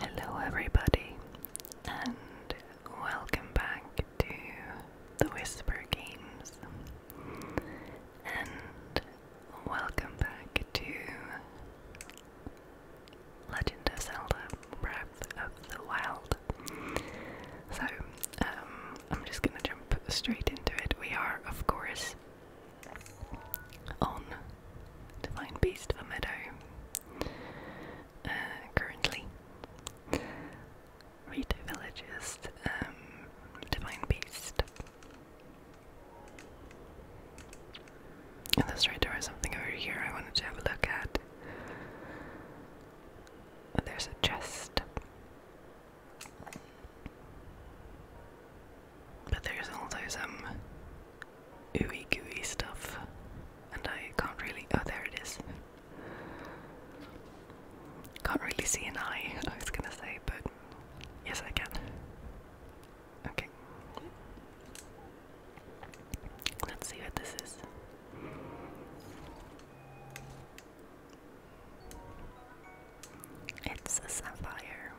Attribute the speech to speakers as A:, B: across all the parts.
A: Hello, everybody, and welcome back to the Whisper Games, and welcome back to Legend of Zelda Breath of the Wild. So, um, I'm just gonna jump straight into it. We are, of course, on Divine Beast of a Meadow uh, currently. Rito Village's um, Divine Beast. And that's right, there something over here I wanted to have a look at. there's a chest. But there's also some ooey gooey stuff. And I can't really. Oh, there it is. Can't really see an eye, I was gonna say, but yes, I can. Okay. Let's see what this is. It's a sapphire.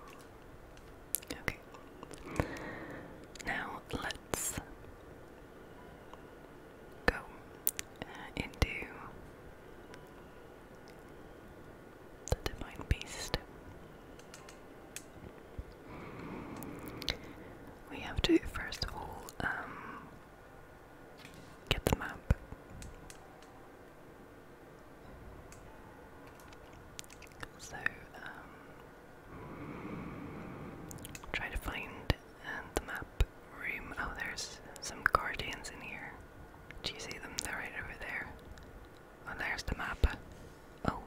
A: Okay. Now let's go uh, into the divine beast. We have to first of all um, get the map. So um, try to find and the map room. Oh, there's some guardians in here. Do you see them? They're right over there. Oh, there's the map. Oh.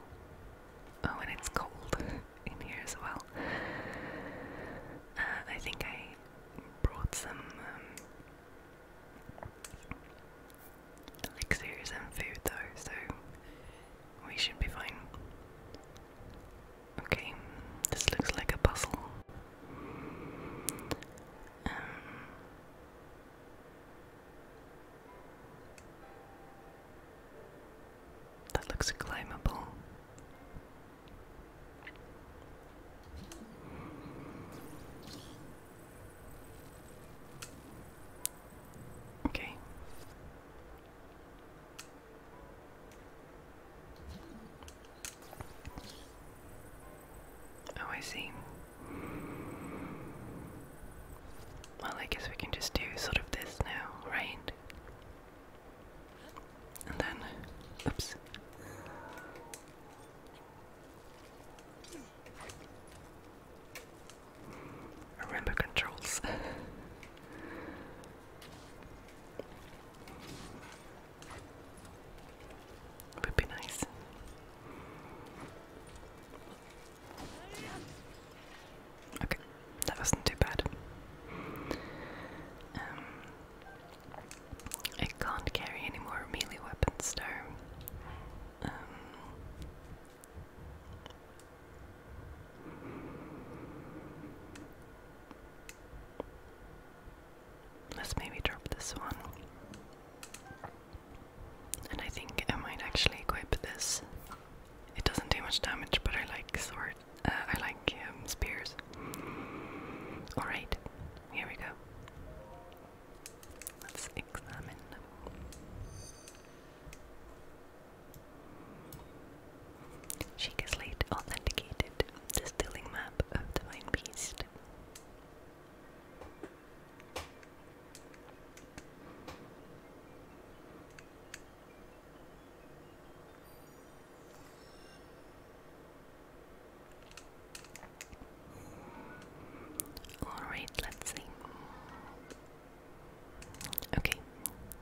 A: Oh, and it's cold in here as well. Uh, I think I brought some um, and food though, so we should be fine. Okay, this looks like a puzzle. Um, that looks climbable. Okay. Oh, I see. Well, I guess we can just do sort of this now, right? And then, oops. Remember controls. would be nice. Okay, that wasn't too bad. Um, I can't carry any more melee weapons though. Um, Let's maybe drop this one. And I think I might actually equip this. It doesn't do much damage, but I like sword. Uh, I like um, spears. All right, here we go. Let's examine. She has later authenticated the map of Divine Beast. Alright, let's see. Okay,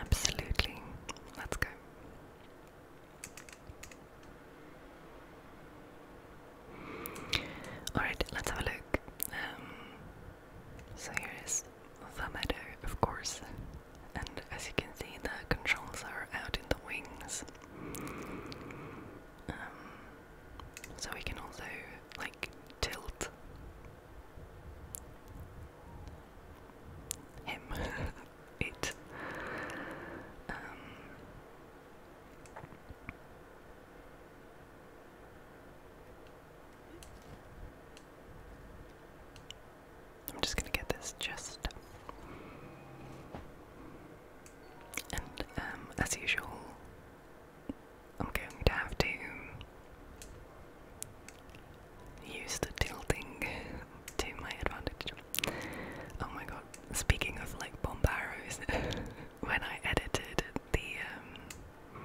A: Absolutely. Let's go. Alright, let's have a look. Um, so here is the meadow, of course. And as you can see, the controls are out in the wings. Um, so we can also, like, tilt him, it. Um, I'm just gonna get this chest. And um, as usual, I'm going to have to use the tilting to my advantage. Oh my god, speaking of like bomb arrows, when I edited the um,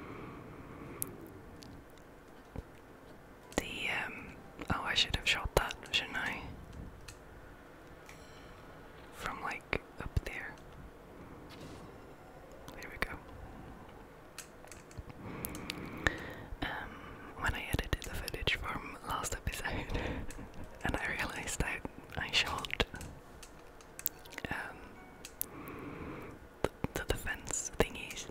A: the um, oh I should have shot that, shouldn't I? From like up there. There we go. Um, when I edited the footage from last episode, and I realized I I shot um, the, the defense thingies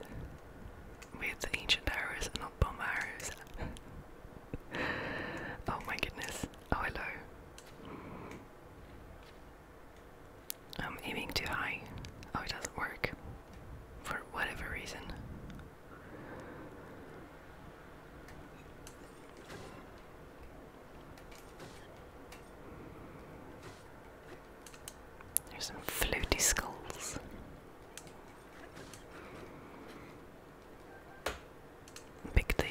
A: with ancient arrows not bomb arrows. oh my goodness! Oh hello. I'm aiming too high. Oh, it doesn't work. For whatever reason. There's some floaty skulls. Pick the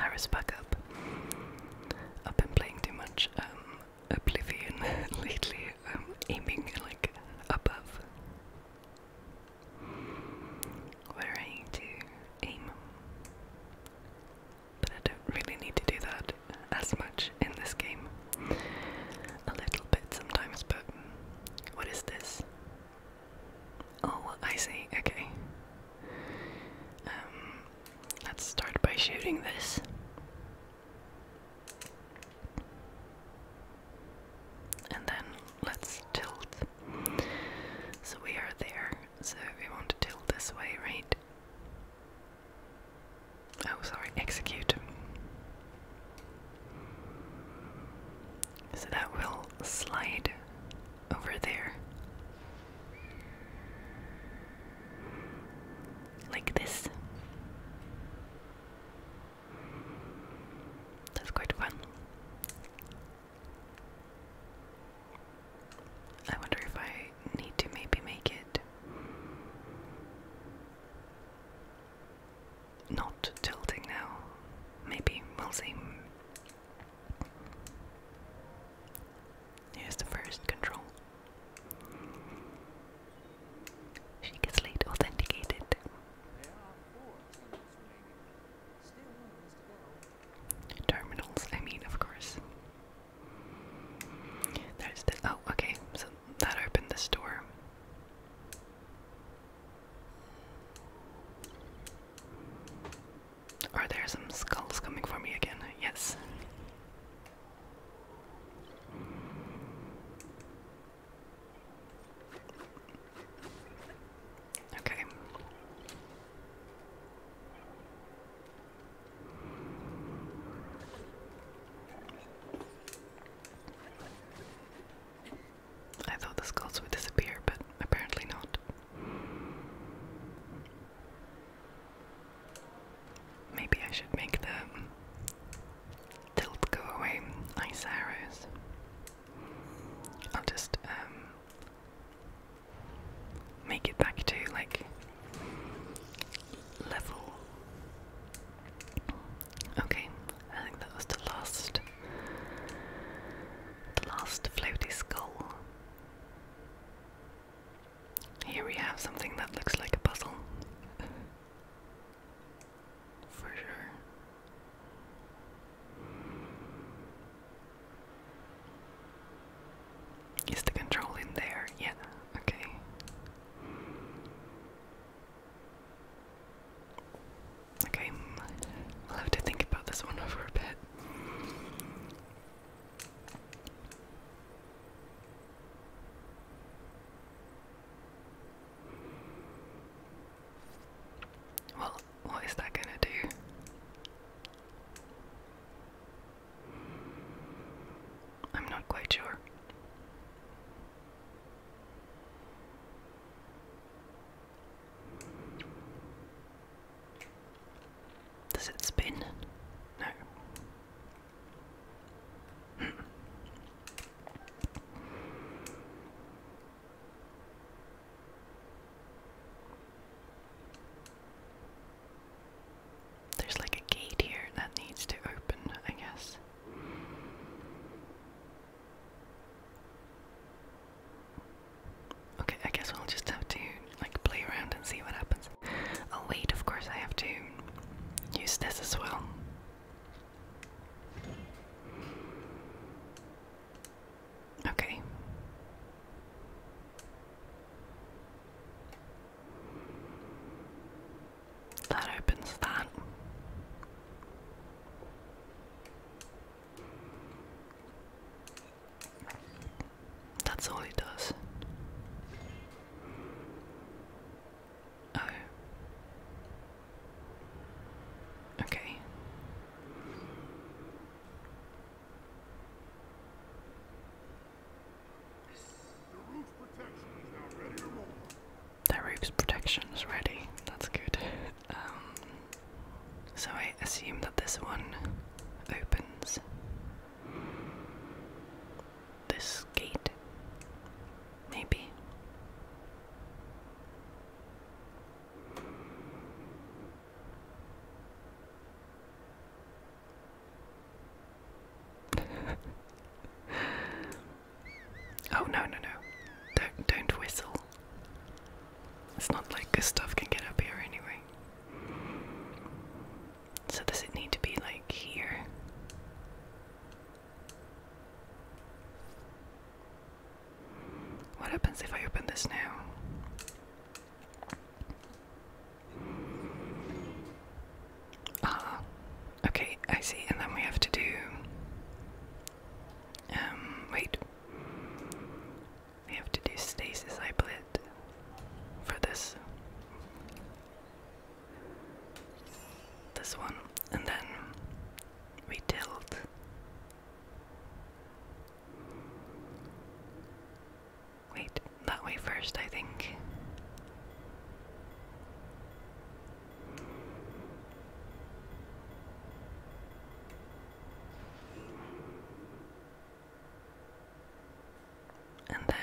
A: iris back up. I've been playing too much um, oblivion lately. I'm um, aiming like above. Where I need to aim. But I don't really need to do that as much in this game. A little bit sometimes, but what is this? Oh, I see, okay. Um, let's start by shooting this. And then let's tilt. So we are there. So we want to tilt this way, right? Oh, sorry, execute. So that will slide over there like this. That's quite fun. I wonder if I need to maybe make it not tilting now. Maybe, we'll see. Here's the first control. She gets late authenticated. Terminals, I mean, of course. There's the Oh, okay, so that opened the door. Are there some skulls coming for me again? Yes. Okay. I thought the skulls would disappear, but apparently not. Maybe I should make the tilt go away ice arrows. I'll just um, make it back to like level. Okay, I think that was the last the last floaty skull. Here we have something that looks like a puzzle. For sure. Is the control in there? Yeah, okay. Okay, I'll have to think about this one for a bit. Well, what is that gonna do? I'm not quite sure. Does it spin? No. There's like a gate here that needs to open, I guess. Okay, I guess we'll just have to like play around and see what happens. Oh wait, of course I have to use this as well. Okay. That opens that. That's all he does. Oh. Okay. The roof's protection is ready. That's good. Um, so I assume that this one opens this gate. Maybe. oh, no, no, no. Don't, don't whistle. It's not like Gustav can get up here anyway. So does it need to be like here? What happens if I open this now? Ah, okay, I see. And then we have to do. Um, wait. We have to do stasis, I believe, for this this one, and then we tilt. Wait, that way first, I think. And then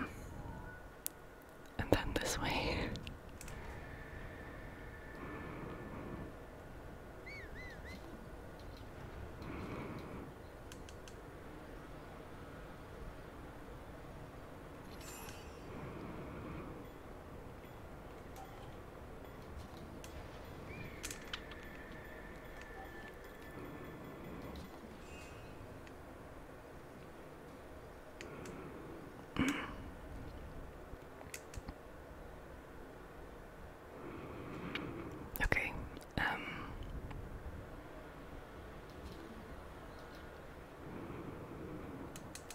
A: and then this way okay, um.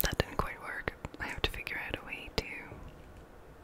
A: That didn't quite work. I have to figure out a way to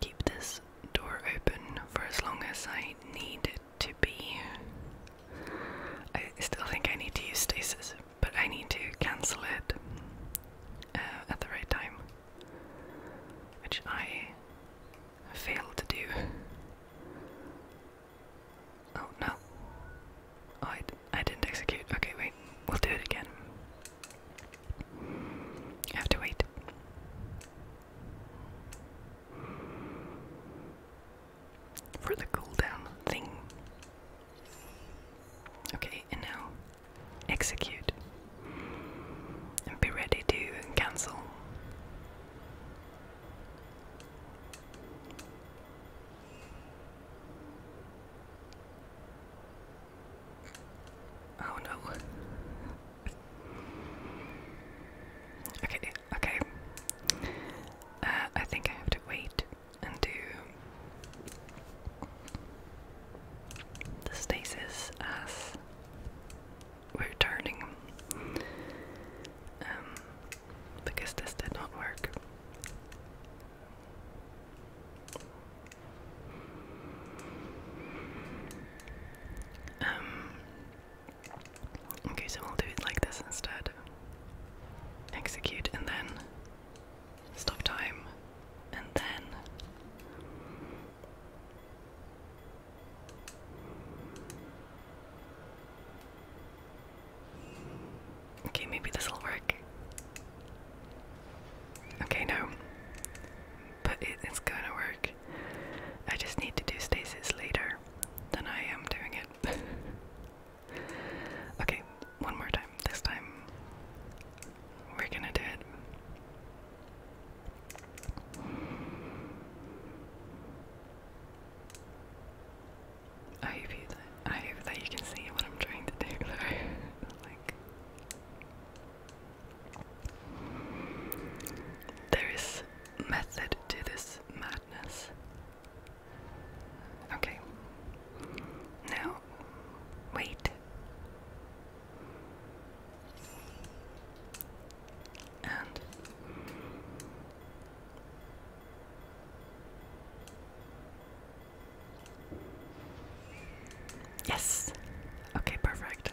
A: keep this door open for as long as I need it to be. I still think I need to use stasis, but I need to cancel it uh, at the right time, which I failed to do. Oh no. Oh, I, I didn't execute. Okay, wait. We'll do it again. I have to wait for the cooldown thing. Okay, and now execute and be ready to cancel. Oh no. Okay, okay. Uh, I think I have to wait and do the stasis as we're turning. Um, because this did not work. Um, okay, so we'll do it like this instead. Execute and then stop time and then. Okay, maybe this'll work. Okay, no but it's gonna work. I just need to do stasis later than I am doing it. okay, one more time. This time, we're gonna do it. I hope, that, I hope that you can see what I'm trying to do, though. like, there is method to this madness. Okay. Now, wait. And yes. Okay, perfect.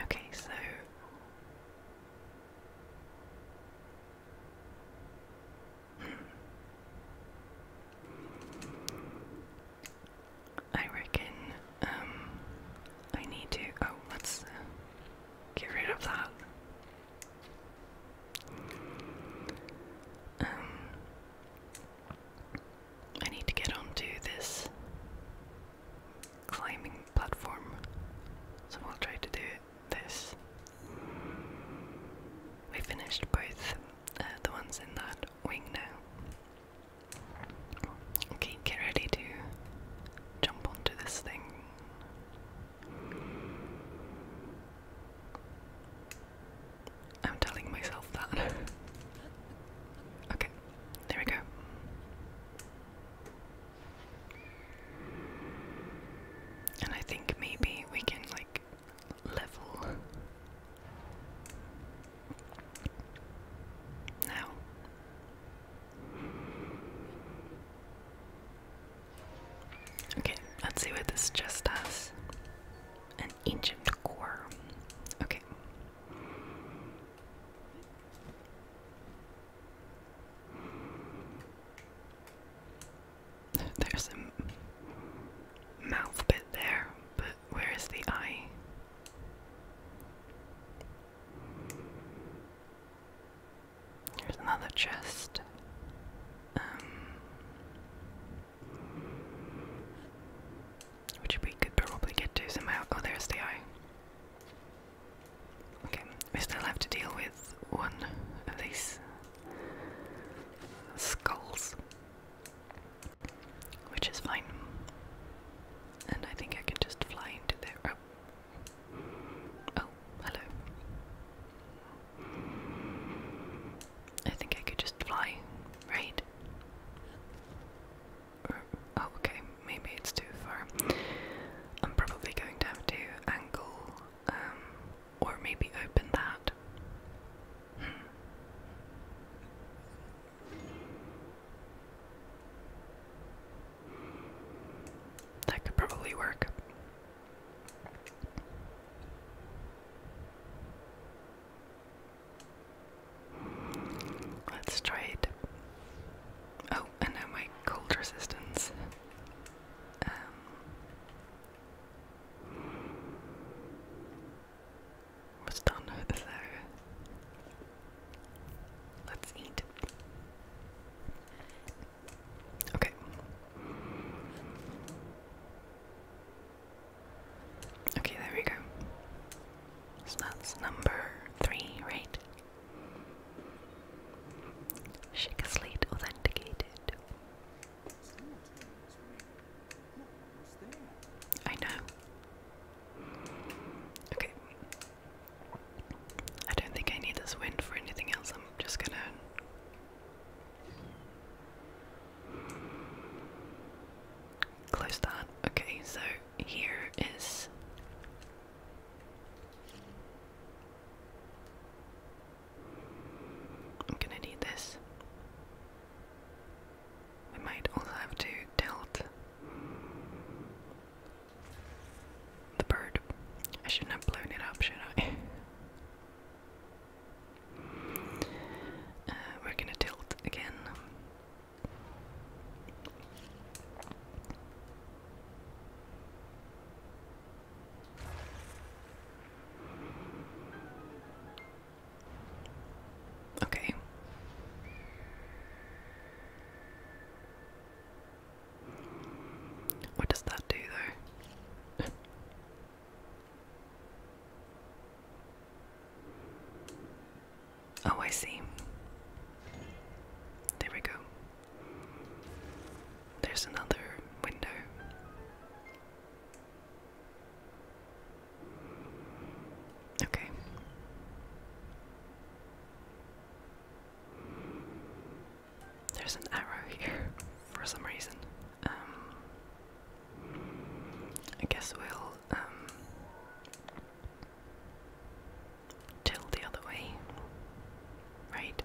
A: Okay, so hmm. I reckon um, I need to oh let's uh, get rid of that. Um, I need to get onto this climbing platform, so we'll try to do this. We finished both uh, the ones in that wing now. Okay, get ready to jump onto this thing. I'm telling myself that. okay, there we go. And I think maybe we can like level now. Okay, let's see what this chest has. An ancient core. Okay. There's a mouth bit there, but where is the eye? There's another chest. Um, which we could probably get to somehow. Oh, there's the eye. Okay, we still have to deal with one of these skulls, which is fine. And I think I can just fly into there. oh, oh hello. I think I could just fly, right? oh, okay, maybe it's too far. I'm probably going to have to angle, um, or maybe open that. Hmm. That could probably work. Let's try it. Oh, and now my cold resistance. Um, was done, so let's eat. Okay. Okay, there we go. So that's number three, right? Shake authenticated. I know. Okay. I don't think I need this wind for anything else. I'm just gonna Close that. Okay, so here is. I'm gonna need this. We might also have to tilt the bird. I shouldn't have blown it up, should I? Uh, we're gonna tilt again. Okay. What does that do though? Oh, I see. There we go. There's another window. Okay. There's an arrow here for some reason. Um, I guess we'll um, the other way, right?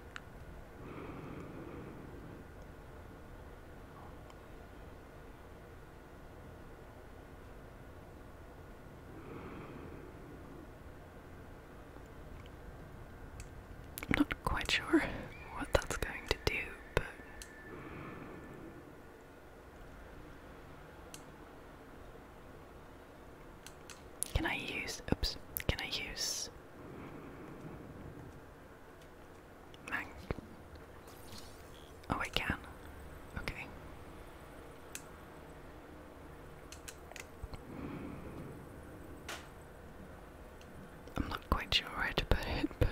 A: quite sure what that's going to do, but. Can I use. Oops. Can I use. Mang. Oh, I can. Okay. I'm not quite sure where to put it, but.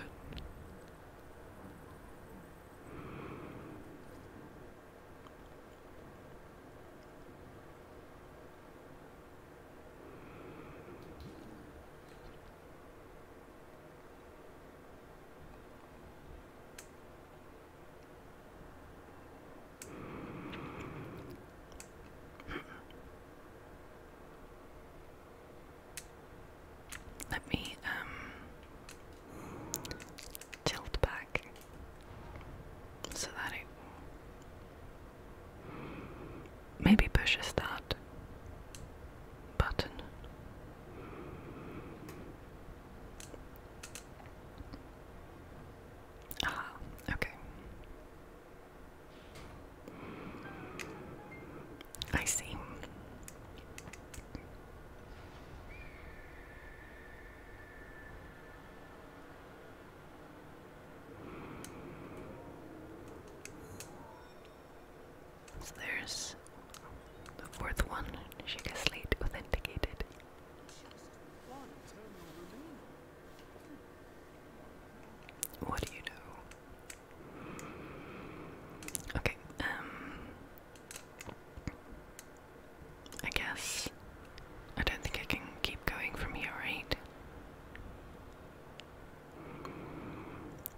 A: Let me um tilt back so that it maybe pushes that button. Ah, okay. I see. So there's the fourth one. She gets late authenticated. What do you know? Okay, um I guess I don't think I can keep going from here, right?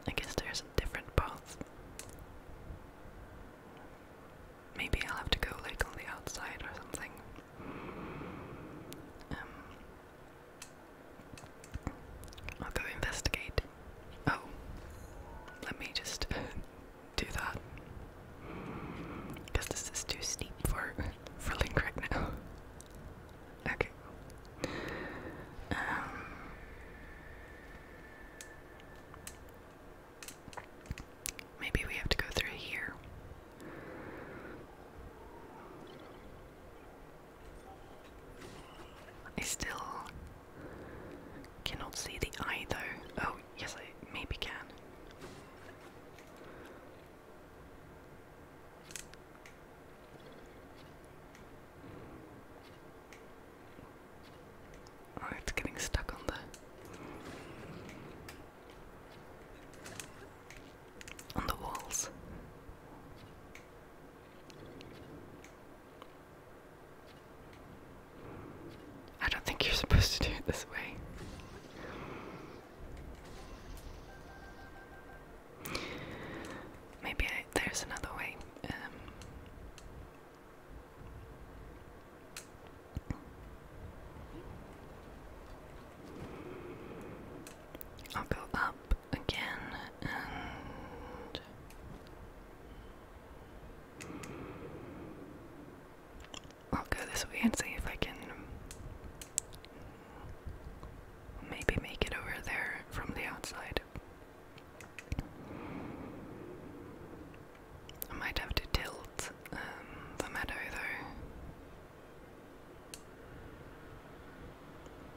A: I guess there's different path. Maybe I'll have to go like on the outside or something. Um, I'll go investigate. Oh, let me just do that. Because this is too steep for for Link right now. Okay. Um. Maybe we have to go through here. I still cannot see the eye though. Oh, yes, I maybe can. Oh, it's getting stuck on the on the walls. I don't think you're supposed to do it this way. Maybe there's another way. Um, I'll go up again and I'll go this way and see if I can maybe make it over there from the outside. I might have to tilt um, the meadow though.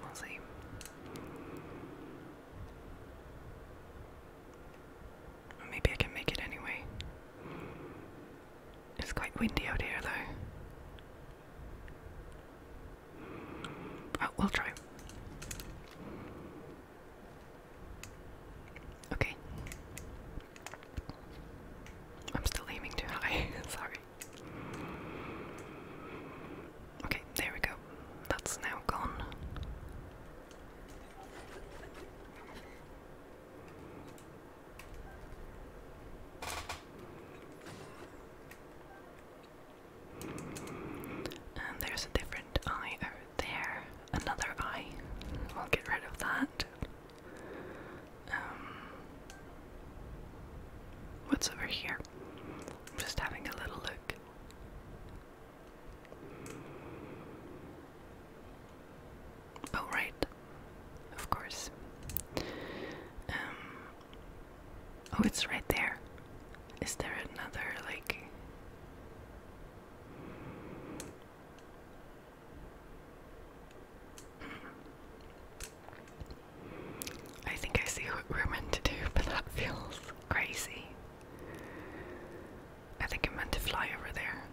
A: We'll see. Maybe I can make it anyway. It's quite windy out here, though. Oh, we'll try. Okay. I'm still aiming too high, sorry. Okay, there we go. That's now gone. And there's a different eye out there. Another eye. We'll get rid of that. Um, what's over here? I'm just having a little look. Oh, right. Of course. Um, oh, it's right there. Is there another, like. I think I see what we're meant to do, but that feels crazy. I think I'm meant to fly over there.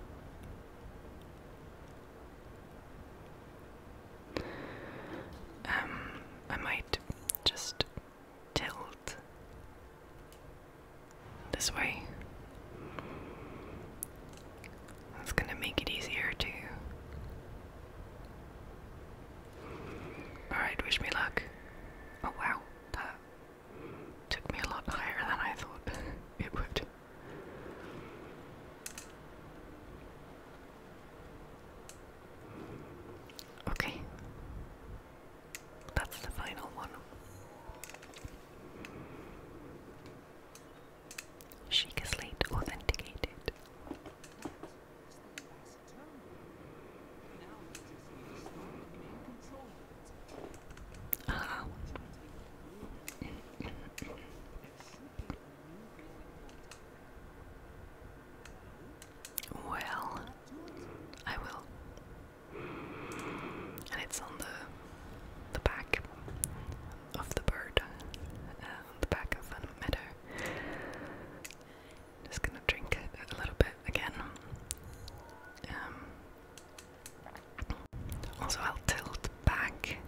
A: Um, I might just tilt this way. That's gonna make it easier to Alright, wish me luck. Oh wow, that took me a lot higher than I thought it would. Okay. That's the final one. Sheik is authenticated. Ah. Well, I will. And it's on the the back of the bird. Uh, the back of the meadow. Just gonna drink it a little bit again. Um, also, I'll tilt back,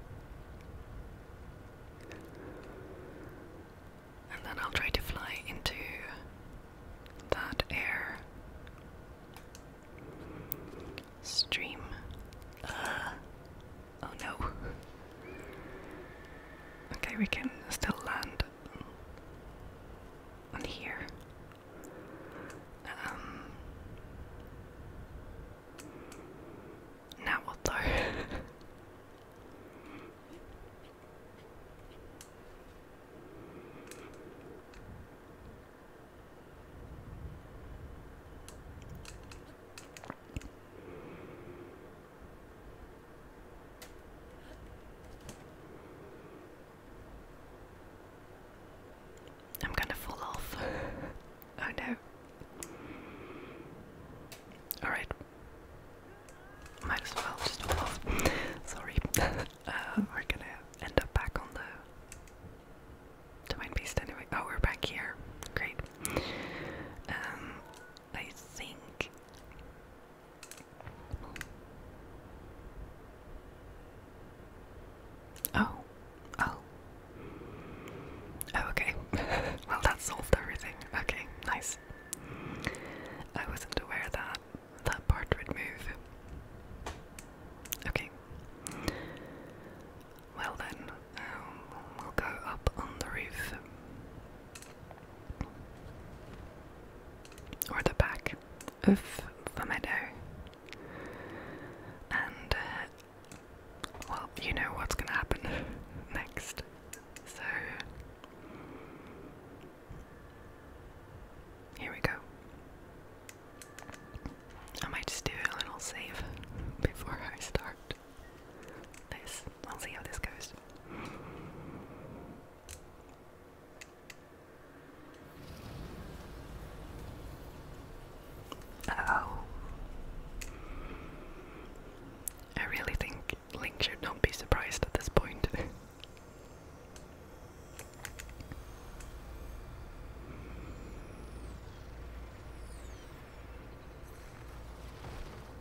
A: and then I'll try to fly into that air stream. Oh no. Okay, we can still land on here. Um, now what though? I'm gonna fall off. oh no. Alright. Might as well just fall off. Sorry. we're uh, gonna end up back on the. To beast anyway. Oh, we're back here. Great. Um, I think. Oh, oh. oh okay. well, that solved everything. Okay, nice. I wasn't aware that that part would move. Okay. Well then, um, we'll go up on the roof or the back of the meadow. And, uh, well, you know what's going to happen next. So, here we go. I might just do a little save before I start this. I'll see how this goes. Oh. I really think Link should not be surprised at this point.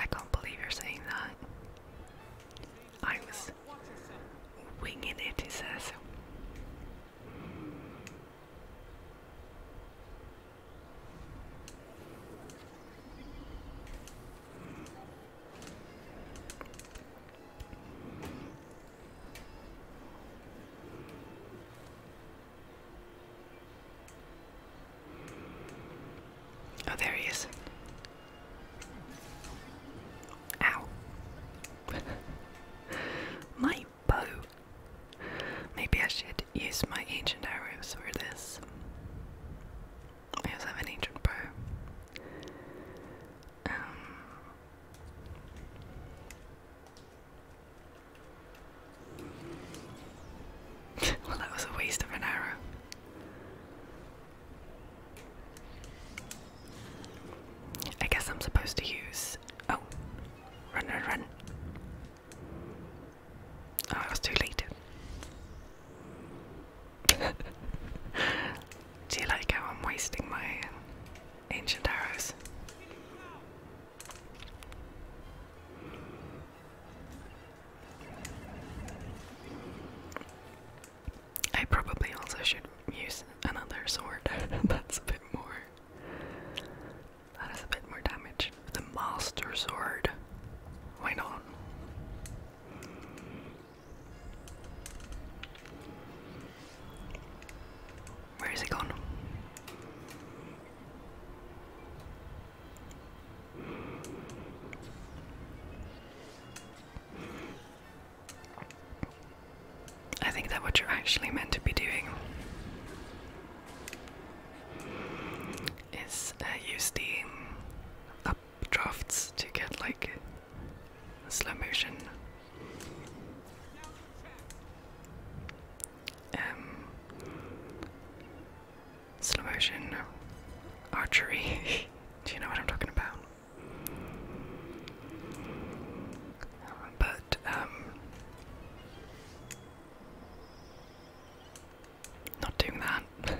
A: I can't believe you're saying that. I was winging it, he says. Oh, there he is. Ow. my bow. Maybe I should use my ancient arrows for this. I also have an ancient bow. Um, well, that was a waste of an arrow. I guess I'm supposed to use. Oh, run, run, run. Oh, I too late. Do you like how I'm wasting my ancient arrows. I probably also should use another sword. That's a bit more. That is a bit more damage. The Master Sword. Why not? Where is it gone? I think that what you're actually meant to be doing is uh, use the updrafts to get like slow motion. Um, slow motion archery. Do you know what I'm talking about? But, um, not doing that.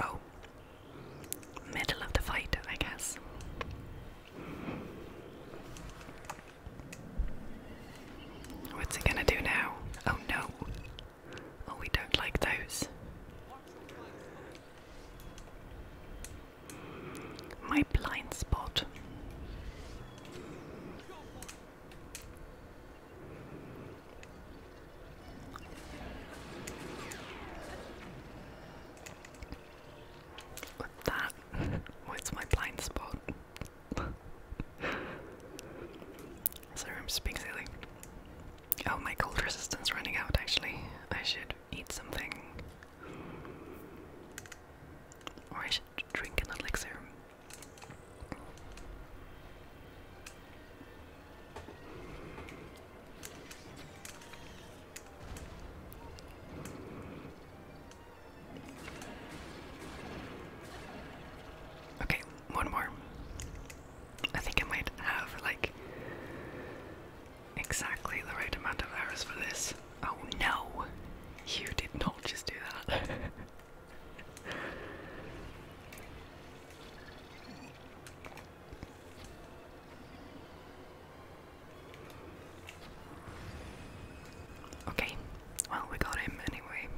A: Oh, middle of the fight, I guess. What's he gonna do now? Oh no. Oh, we don't like those. My blind spot. With that, what's my blind spot? Sorry, I'm just Oh, my cold resistance running out. Actually, I should eat something, or drink an elixir. Okay, one more. I think I might have like exactly the right amount of hours for this. Oh no! You did not just do that. okay, well, we got him anyway.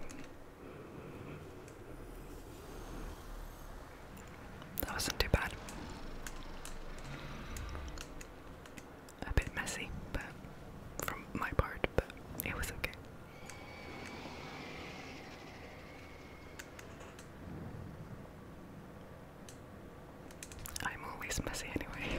A: That wasn't too bad a bit messy, but from my part, but it was okay. I'm always messy anyway.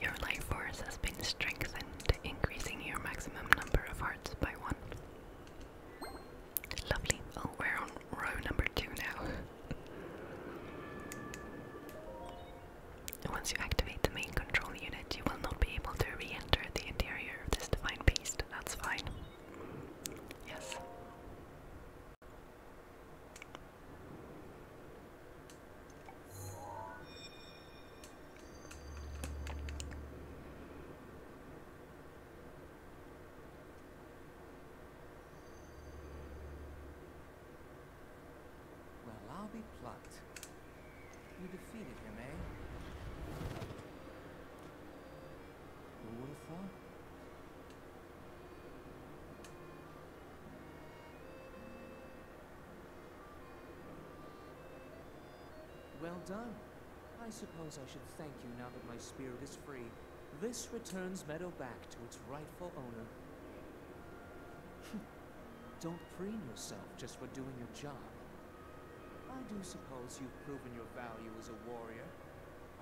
A: Your life force has been strengthened, increasing your maximum number of hearts by one. Lovely. Oh, we're on row number two now. Once you activate the main control unit, you will not be able to re enter the interior this divine beast, that's fine. Yes. Well, I'll be plucked. You defeated him, eh? Who would have thought? Well done. I suppose I should thank you now that my spirit is free. This returns Meadow back to its rightful owner. Don't preen yourself just for doing your job. I do suppose you've proven your value as a warrior.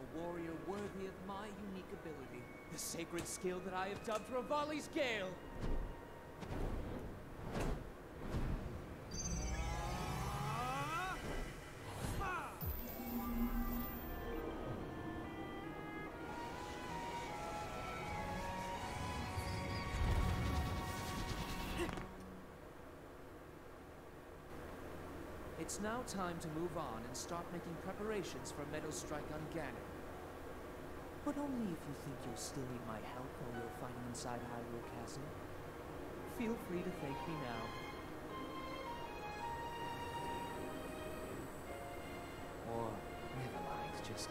A: A warrior worthy of my unique ability. The sacred skill that I have dubbed Ravali's Gale. It's now time to move on and start making preparations for Meadow Strike on Ganon. But only if you think you'll still need my help while you are fighting inside Hyrule Castle. Feel free to thank me now. Or, never mind, just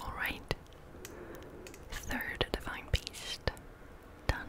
A: Alright. Third divine beast. Done.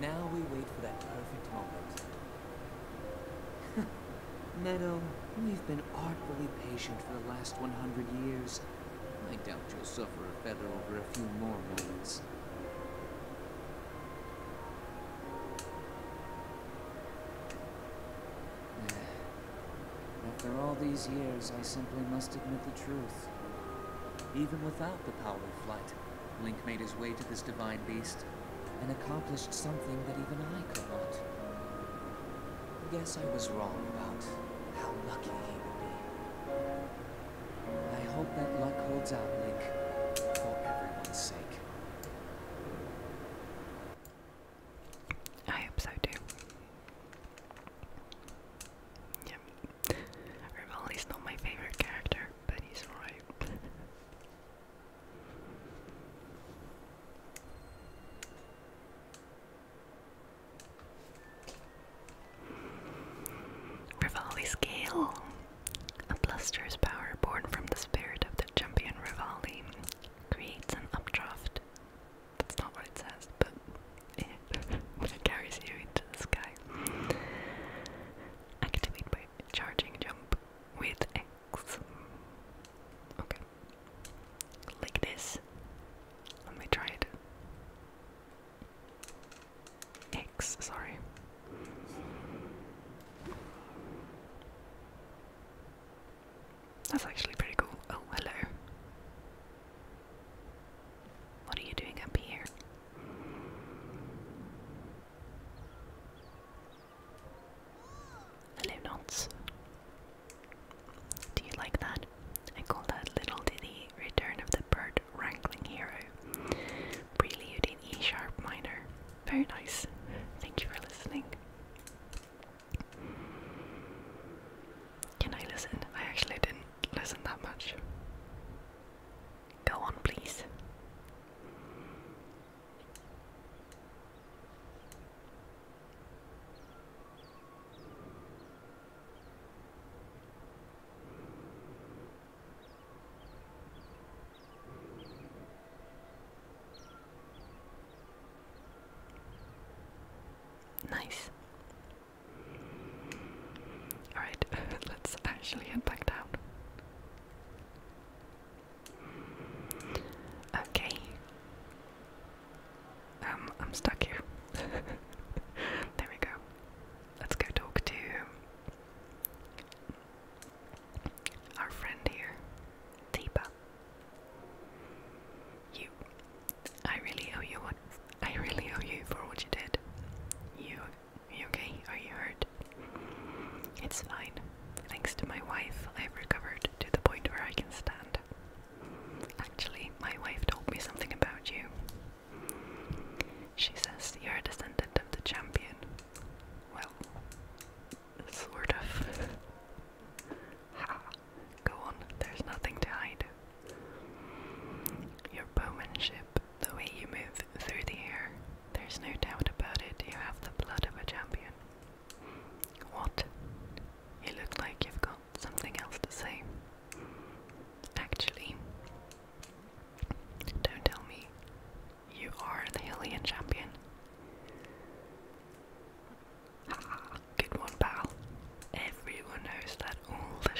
A: Now we wait for that perfect moment. Meadow, you've been artfully patient for the last 100 years. I doubt you'll suffer a feather over a few more moments. After all these years, I simply must admit the truth. Even without the power flight, Link made his way to this divine beast and accomplished something that even I could not. Guess I was wrong about how lucky he would be. I hope that luck holds out, Link, for everyone's sake. I hope so too. Yeah. Rival is not my favorite character, but he's alright. Rivali Scale! A bluster's power born from the spirit of the champion Rivali creates an updraft. That's not what it says, but that carries you into the sky. Activate by charging jump with X. Okay. Like this. Let me try it. X, sorry. That's actually pretty cool. Oh, hello. What are you doing up here? Hello, knots. Do you like that? I call that Little Diddy Return of the Bird Wrangling Hero. Prelude in E sharp minor. Very nice. Thank you for listening. Can I listen? I actually didn't listen that much. Go on, please. Nice. Alright, let's actually head back down. Okay. Um, I'm stuck here. there we go. Let's go talk to our friend here, Deepa. You. I really owe you one. I really owe you for what you did. You, okay? Are you hurt? It's fine. Thanks to my wife, I've recovered to the point where I can stand. Actually, my wife told me something about you. She says you're a descendant of the champion. Well, sort of. ha! Go on, there's nothing to hide. Your bowmanship the way you move through the air. There's no doubt about it, you have the blood of a champion. What? You look like you've got something else to say. Actually, don't tell me. You are the Hillian champion. Ah, good one, pal. Everyone knows that all the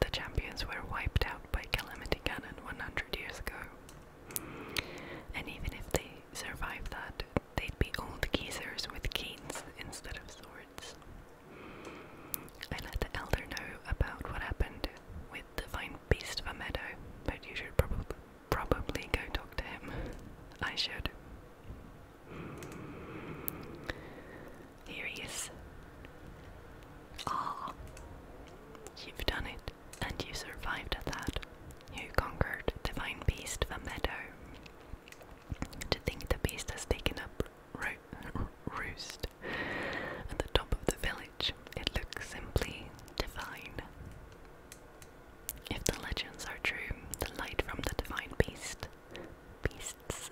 A: the champions were wiped out by Calamity Cannon 100 years ago. And even if they survived that, they'd be old geezers with canes instead of swords. I let the elder know about what happened with the fine beast of a meadow, but you should probably probably go talk to him. I should. Here he is. Ah, you've done it, and you survived at that. You conquered the fine beast of a meadow. To think the beast has taken up roost at the top of the village, it looks simply divine. If the legends are true, the light from the divine beast pests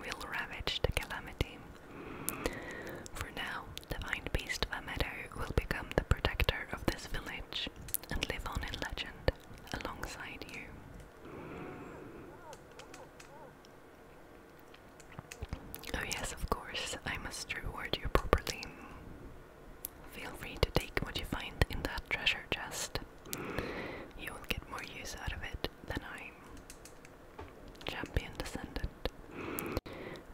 A: will ravage the calamity. For now, the vine beast of a meadow will become the protector of this village and live on in legend alongside you. Oh, yes, of course, I must reward you properly. Feel free to take what you find in that treasure chest. You will get more use out of it than I. Champion Descendant.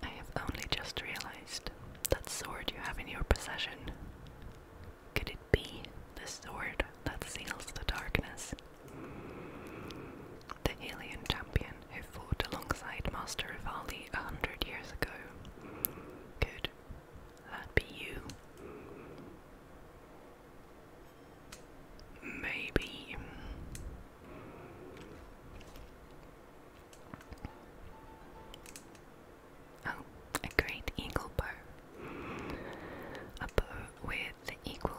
A: I have only just realized that sword you have in your possession. Could it be the sword that seals the darkness? The alien champion who fought alongside Master Rivaldi a hundred years ago. Could that be you? Maybe. Oh, a great eagle bow. A bow with equal.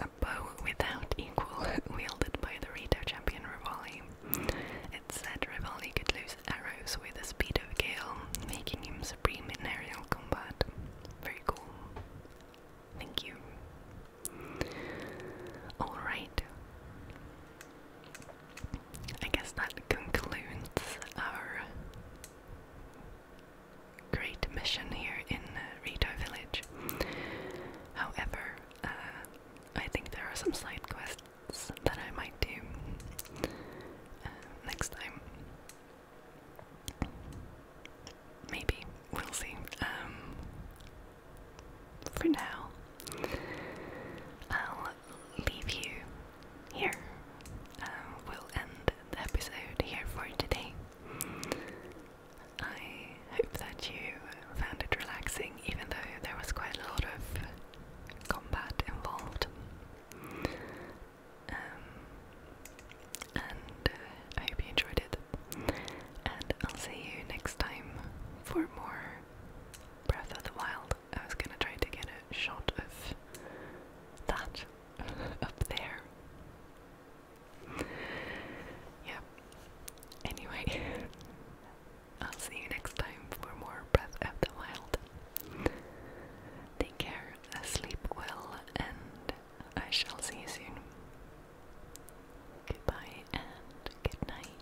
A: A bow without equal, wielded by the Rito champion Rivoli. It said Rivoli could lose arrows with the speed of Gale, making him supreme in aerial combat. Very cool. Thank you. Alright. I guess that concludes our great mission here in Rito Village. However, uh, I think there are some side quests that I might do uh, next time. Maybe. We'll see. Um, for now, I'll leave you here. Um, we'll end the episode here for today. I hope that you found it relaxing, even though there was quite a lot of combat involved. Um, and uh, I hope you enjoyed it. And I'll see you next time for more Breath of the Wild. I was gonna try to get a shot of that up there. Yep. Anyway, I'll see you next time for more Breath of the Wild. Take care, sleep well, and I shall see you soon. Goodbye and good night.